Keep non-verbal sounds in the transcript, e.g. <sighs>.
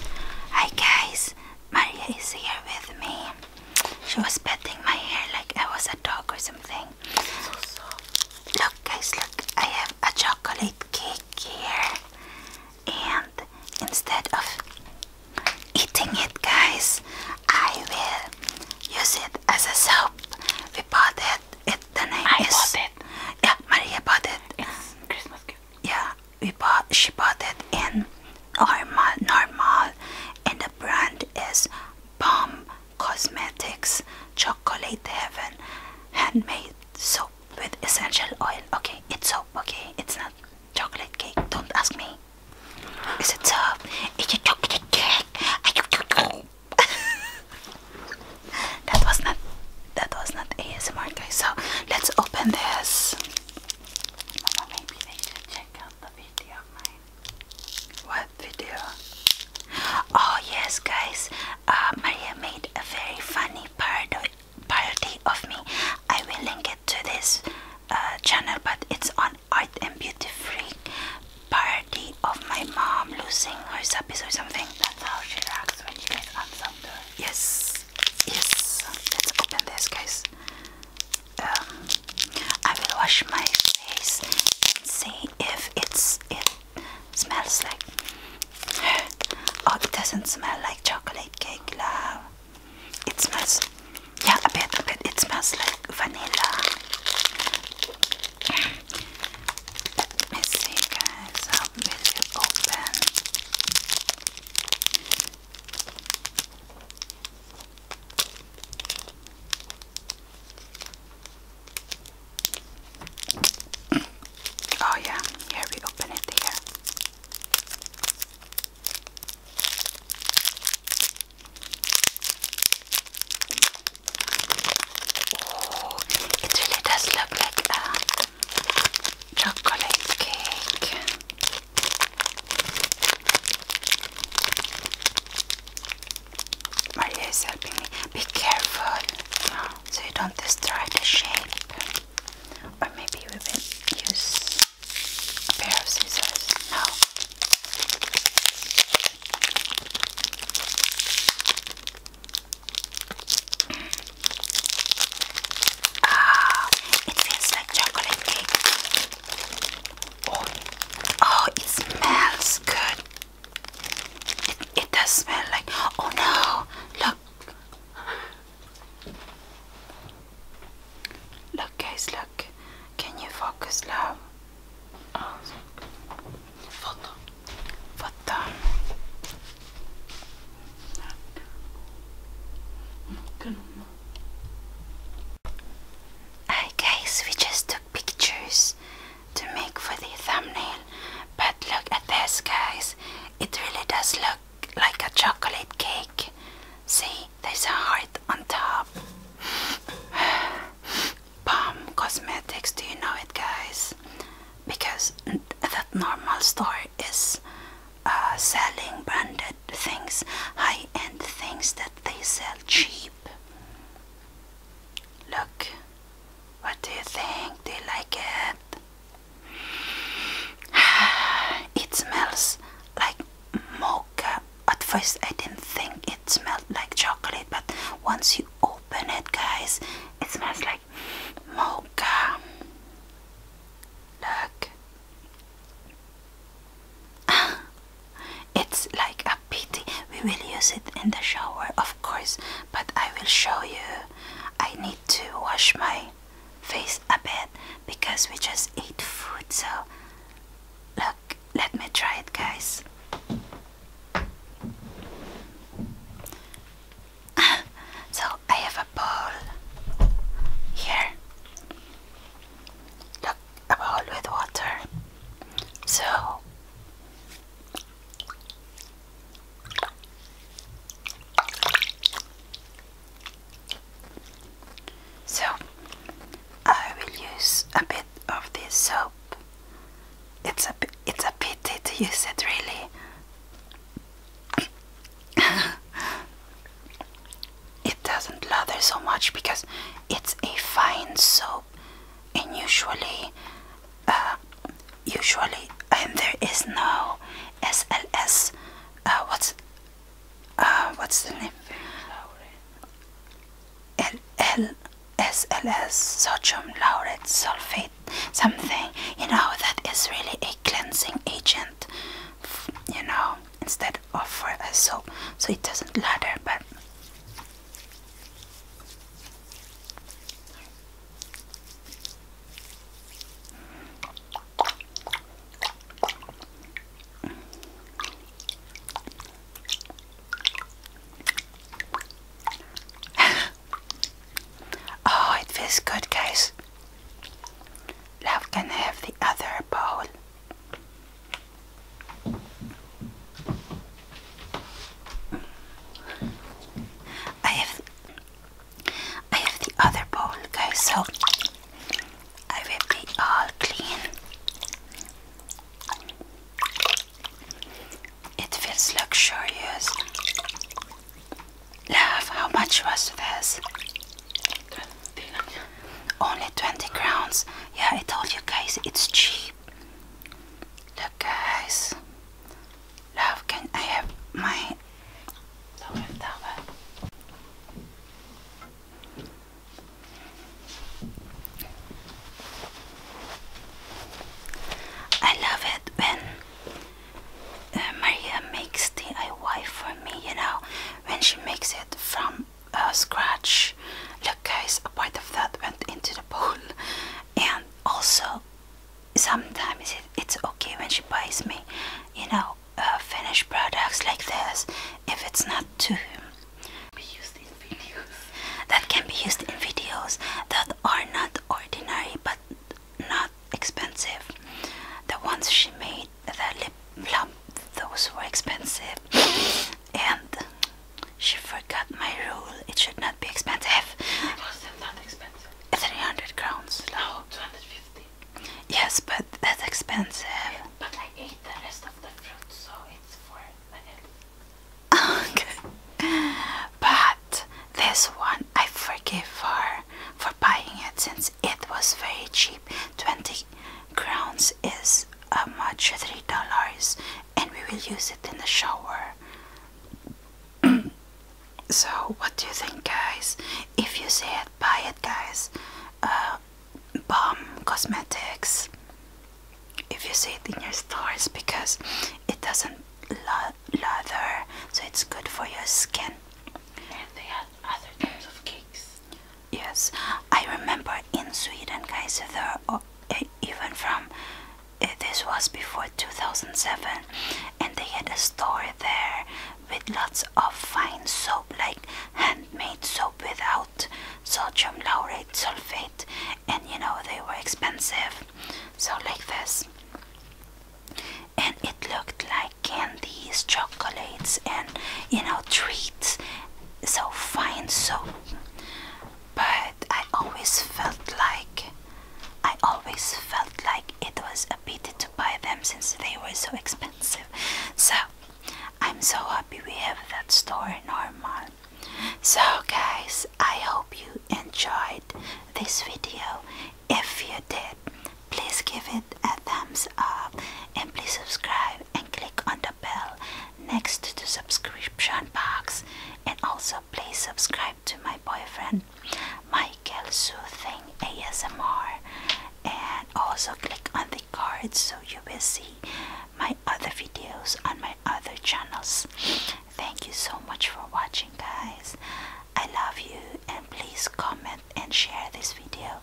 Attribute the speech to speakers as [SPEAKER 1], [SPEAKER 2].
[SPEAKER 1] Hi guys, Maria is here with me. She was petting my hair like I was a dog or something. So look guys, look, I have a chocolate cake here. And instead of eating it guys, I will use it as a soap. We bought it. at the name I is bought it. Yeah, Maria bought it. It's Christmas gift. Yeah, we bought she bought it in Normal, normal and the brand is Bomb Cosmetics Chocolate Heaven handmade soap with essential oil. Okay, it's soap, okay? It's not chocolate cake. Don't ask me. Is it soap? Is it chocolate cake? <laughs> that was not that was not ASMR guys. So let's open this. What video? Oh yes, guys. Uh, Maria made a very funny parody parody of me. I will link it to this uh, channel, but it's on Art and Beauty Freak parody of my mom losing her puppies or something. That's how she reacts. Yes, yes. Let's open this, guys. Um, I will wash my face and see if it's it smells like. <gasps> Oh, it doesn't smell like chocolate cake, love. It smells, yeah, a bit, a bit. It smells like vanilla. Let's see guys, how will you open? oh yeah, here we open it here. Oh, it really does look like a chocolate cake. Maria is helping me. Be careful so you don't destroy the shape. Or maybe we will use a pair of scissors. No. Ah, it feels like chocolate cake. Oh, oh it smells good. it does smell like. Oh no! Look. Look, guys, look. Can you focus, love? Foto. Foto. Tak. Hi we just took pictures to make for the thumbnail, but look at this guys. It really does look like a chocolate cake. See, there's a heart on top. <sighs> <sighs> Palm Cosmetics, do you know it, guys? Because that normal store is uh, selling branded things, high end things that they sell cheap. Look, what do you think? Do you like it? <sighs> it smells like mocha. At first, I didn't think it smelled like chocolate, but once you open it, guys, it smells like mocha. Look, <laughs> it's like a pity. We will use it in the shower, of course, but I will show you. I need to wash my face a bit because we just ate food, so Look, let me try it, guys. <laughs> so I have a bowl here. Look, a bowl with water. So so I will use a bit of this soap. It's a it's a pity to use it really. <coughs> it doesn't lather so much because it's a fine soap, and usually, uh, usually, and there is no SLS. Uh, what's Ah, what's the name? SLS, sodium laureth sulfate, something, you know, that is really a cleansing agent, you know, instead of for a soap, so it doesn't lather, but <laughs> oh, it feels good, guys. Love can have the other bowl. I have I have the other bowl, guys, so I will be all clean. It feels luxurious. Love, how much was this? Only 20 crowns. Yeah, I told you guys, it's cheap. Look, guys, Love, can I have my I love it when uh, Maria makes DIY for me, you know, when she makes it from uh, scratch. Look, guys, a part of that went into the pool, and also sometimes it's okay when she buys me, you know, uh, finished products like this if it's not too that can be used in videos that are not ordinary but not expensive. The ones she made, the lip plump, those were expensive, and she forgot my rule. It should not be expensive. It wasn't expensive. 300 crowns. No, 250. Yes, but that's expensive. but I ate the rest of the fruit, so it's for my okay. But this one I forgive for for buying it since it was very cheap. 20 crowns is uh, much $3 and we will use it in the shower. <clears throat> so what do you think guys if you see it buy it guys uh, bomb cosmetics if you see it in your stores because it doesn't lather so it's good for your skin and they had other types of cakes yes i remember in sweden guys there are uh, even from Eh, this was before 2007 and they had a store there with lots of fine soap like handmade soap without sodium laurate sulfate and you know they were expensive so like this and it looked like candies chocolates and you know treats so fine soap but I always felt like I always felt like it was a pity to buy them since they were so expensive. So I'm so happy we have that store in our normal. So guys, I hope you enjoyed this video. If you did, please give it a thumbs up and please subscribe and click on the bell next to subscription box and also please subscribe to my boyfriend Michael Soothing ASMR and also click on the cards so you will see my other videos on my other channels. Thank you so much for watching guys. I love you and please comment and share this video.